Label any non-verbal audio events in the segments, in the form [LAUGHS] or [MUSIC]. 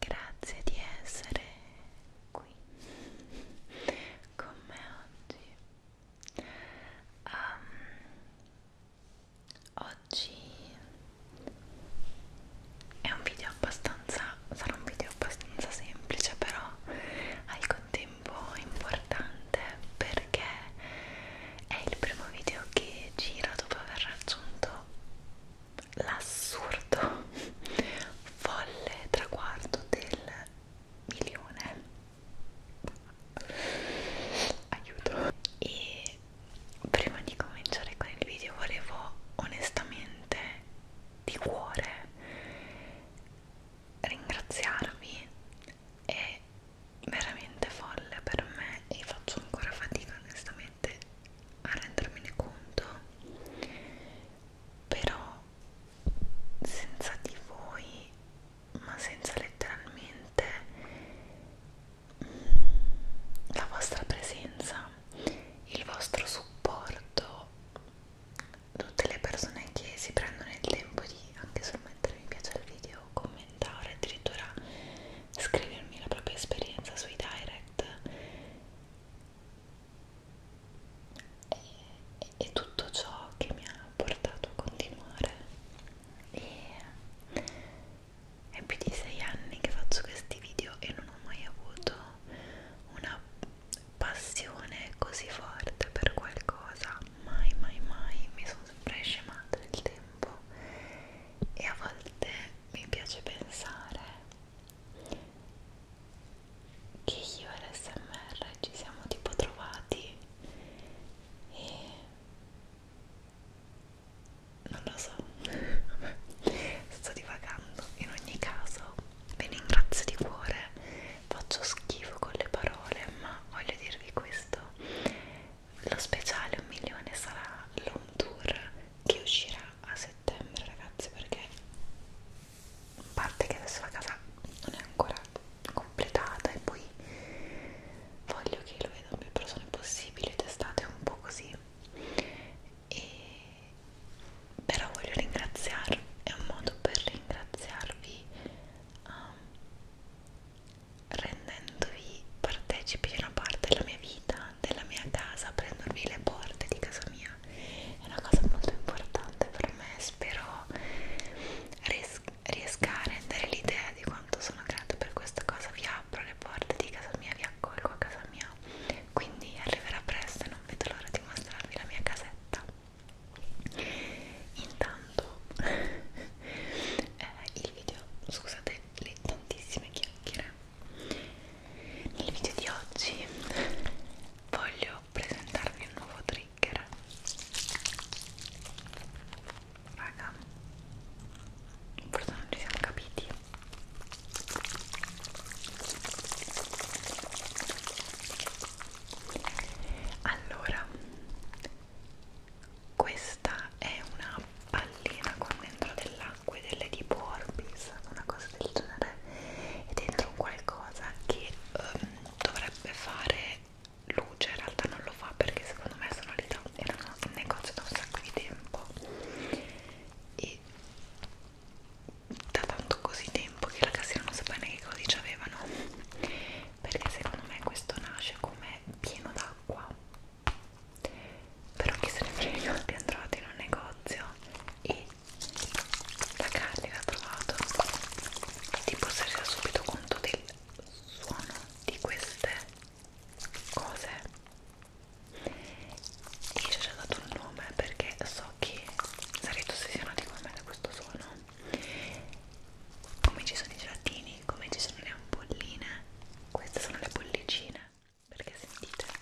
Grazie di essere qui con me oggi. Um, oggi è un video abbastanza, sarà un video abbastanza semplice, però al contempo importante perché è il primo video che gira dopo aver raggiunto l'assurdo folle traguardo del milione aiuto e prima di cominciare con il video volevo onestamente di cuore ringraziarvi è veramente folle per me e faccio ancora fatica onestamente niente a rendermene conto però senza di voi ma senza letteralmente mm, la vostra presenza il vostro supporto tutte le persone che si prendono il tempo di anche solo mettere mi piace al video commentare addirittura scrivermi la propria esperienza sui direct e, e tutto ciò che mi ha portato a continuare e è più di sei anni che faccio questi video e non ho mai avuto una passione così forte per qualcosa mai mai mai mi sono sempre scemata nel tempo e a volte mi piace pensare che io e l'SMR ci siamo tipo trovati e non lo so [LAUGHS] sto divagando in ogni caso vi ringrazio di cuore faccio schifo con le parole ma voglio dirvi questo lo speciale un milione sarà l'home tour che uscirà a settembre ragazzi perché a parte che adesso la casa non è ancora completata e poi voglio che lo vedano più persone possibile testate un po' così e però voglio ringraziarvi è un modo per ringraziarvi um, rendendovi partecipi di una parte della mia vita, della mia casa, aprendovi le porte di casa mia è una cosa molto importante per me, spero ries riesca a rendere l'idea di quanto sono grata per questa cosa, vi apro le porte di casa mia, vi accolgo a casa mia, quindi arriverà presto e non vedo l'ora di mostrarvi la mia casetta. Intanto eh, il video, scusate le tantissime chiacchiere nel video di oggi voglio presentarvi un nuovo trigger raga forse non ci siamo capiti allora questa è una pallina con dentro dell'acqua ed è tipo Orbis, una cosa del genere è dentro un qualcosa che um, dovrebbe fare luce, in realtà non lo fa perché secondo me sono lì da, erano in negozio da un sacco di tempo e da tanto così tempo che la cassiera non sapeva neanche che codice avevano perché secondo me questo nasce come pieno d'acqua però chi se ne frega ti andrò in un negozio e la Carly l'ha trovato tipo si era subito conto del suono di queste cose e ci ho già dato un nome perché so che sarete ossessionati con me da questo suono come ci sono i gelatini, come ci sono le ampolline queste sono le bollicine perché sentite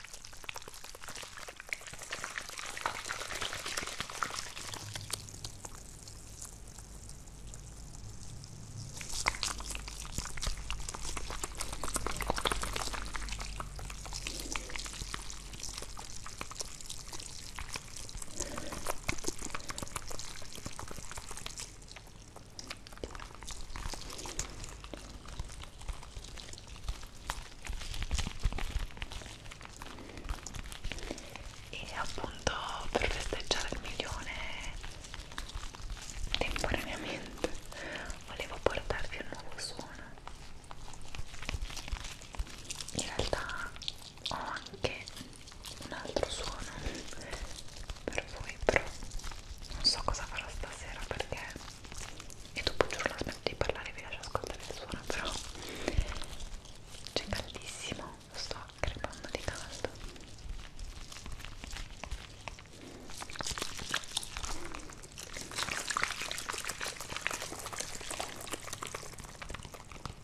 e appunto per festeggiare il milione temporaneamente volevo portarvi un nuovo suono in realtà ho anche un altro suono per voi però non so cosa farò stasera perché e dopo giuro la smetto di parlare e vi lascio ascoltare il suono però c'è caldissimo sto crepando di caldo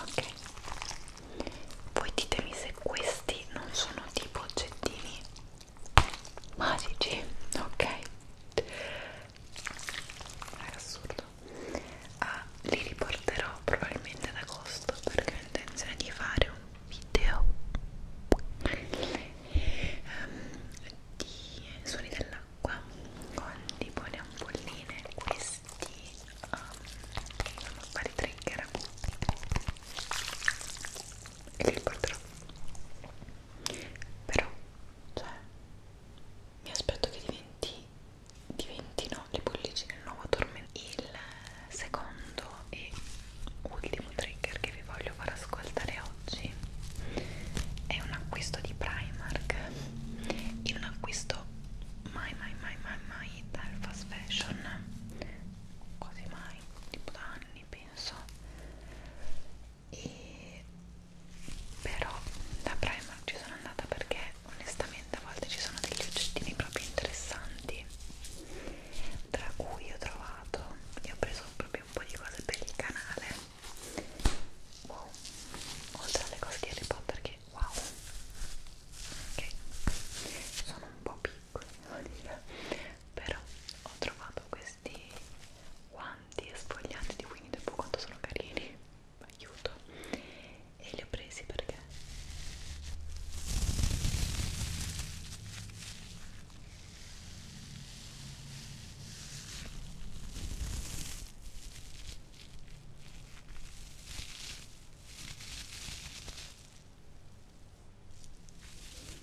Ok, voi ditemi se questi non sono tipo oggettini magici, ok? era assurdo ah, li riporterò probabilmente ad agosto perché ho intenzione di fare un video um, di suoni dell'acqua con tipo le ampolline questi um, sono vari trigger e li riporterò però cioè mi aspetto che diventi, diventino le bollicine il nuovo tormento il secondo e ultimo trigger che vi voglio far ascoltare oggi è un acquisto di Primark in un acquisto mai mai mai mai mai dal fast fashion quasi mai tipo da anni penso e però da Primark ci sono andata perché onestamente a volte ci sono degli oggettini proprio interessanti tra cui ho trovato e ho preso proprio un po' di cose per il canale wow oltre alle cose di Harry Potter che wow ok sono un po' piccole però ho trovato questi One elefanti e sfogliati di Winnie the Pooh quanto sono carini aiuto e li ho presi perché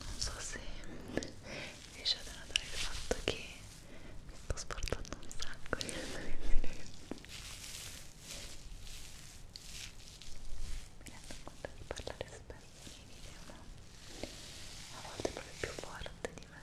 non so se riuscite a notare il fatto che mi sto sportando un sacco di video mi rendo conto di parlare spesso nei video ma a volte proprio più forte di me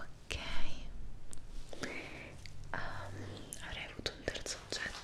Ok, um, avrei avuto un terzo oggetto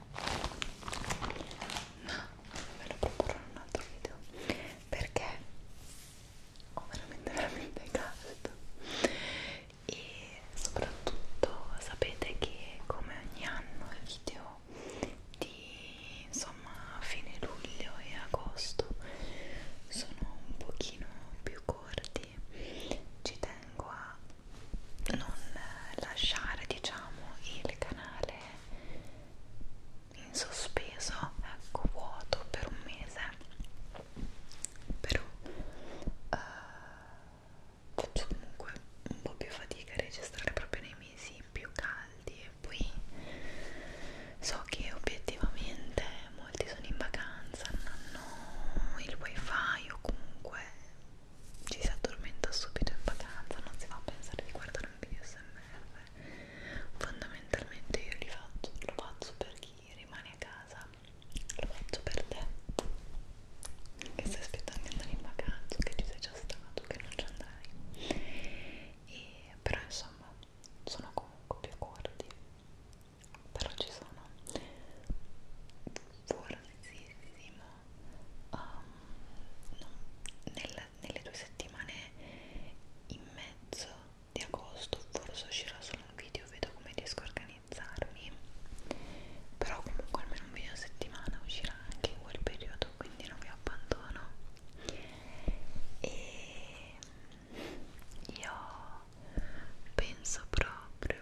ma ve lo proporrò in un altro video perché ho veramente veramente caldo e soprattutto sapete che come ogni anno il video di insomma fine luglio e agosto sono un pochino più corti ci tengo a non lasciare diciamo il canale in sospeso ecco vuoto per un mese però uh, faccio comunque un po' più fatica a registrare proprio nei mesi più caldi e poi so che obiettivamente molti sono in vacanza non hanno il wifi o comunque ci si addormenta subito in vacanza, non si va a pensare di guardare un video smr fondamentalmente io li faccio, lo faccio per chi rimane a casa lo faccio per te che stai aspettando di andare in vacanza che ci sei già stato, che non ci andrai e, però insomma sono comunque più corti però ci sono forzissimo um, no, nel, nelle due settimane in mezzo di agosto forse uscirà solo un video vedo come riesco a organizzarmi però comunque almeno un video a settimana uscirà anche in quel periodo quindi non vi abbandono e io penso proprio,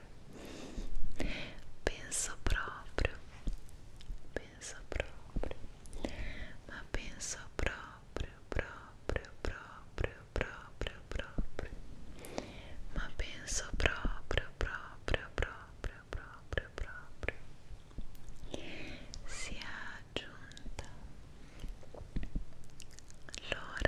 penso proprio, penso proprio, ma penso proprio, proprio, proprio, proprio, proprio, ma penso proprio, proprio, proprio, proprio, proprio. Si è aggiunta l'ora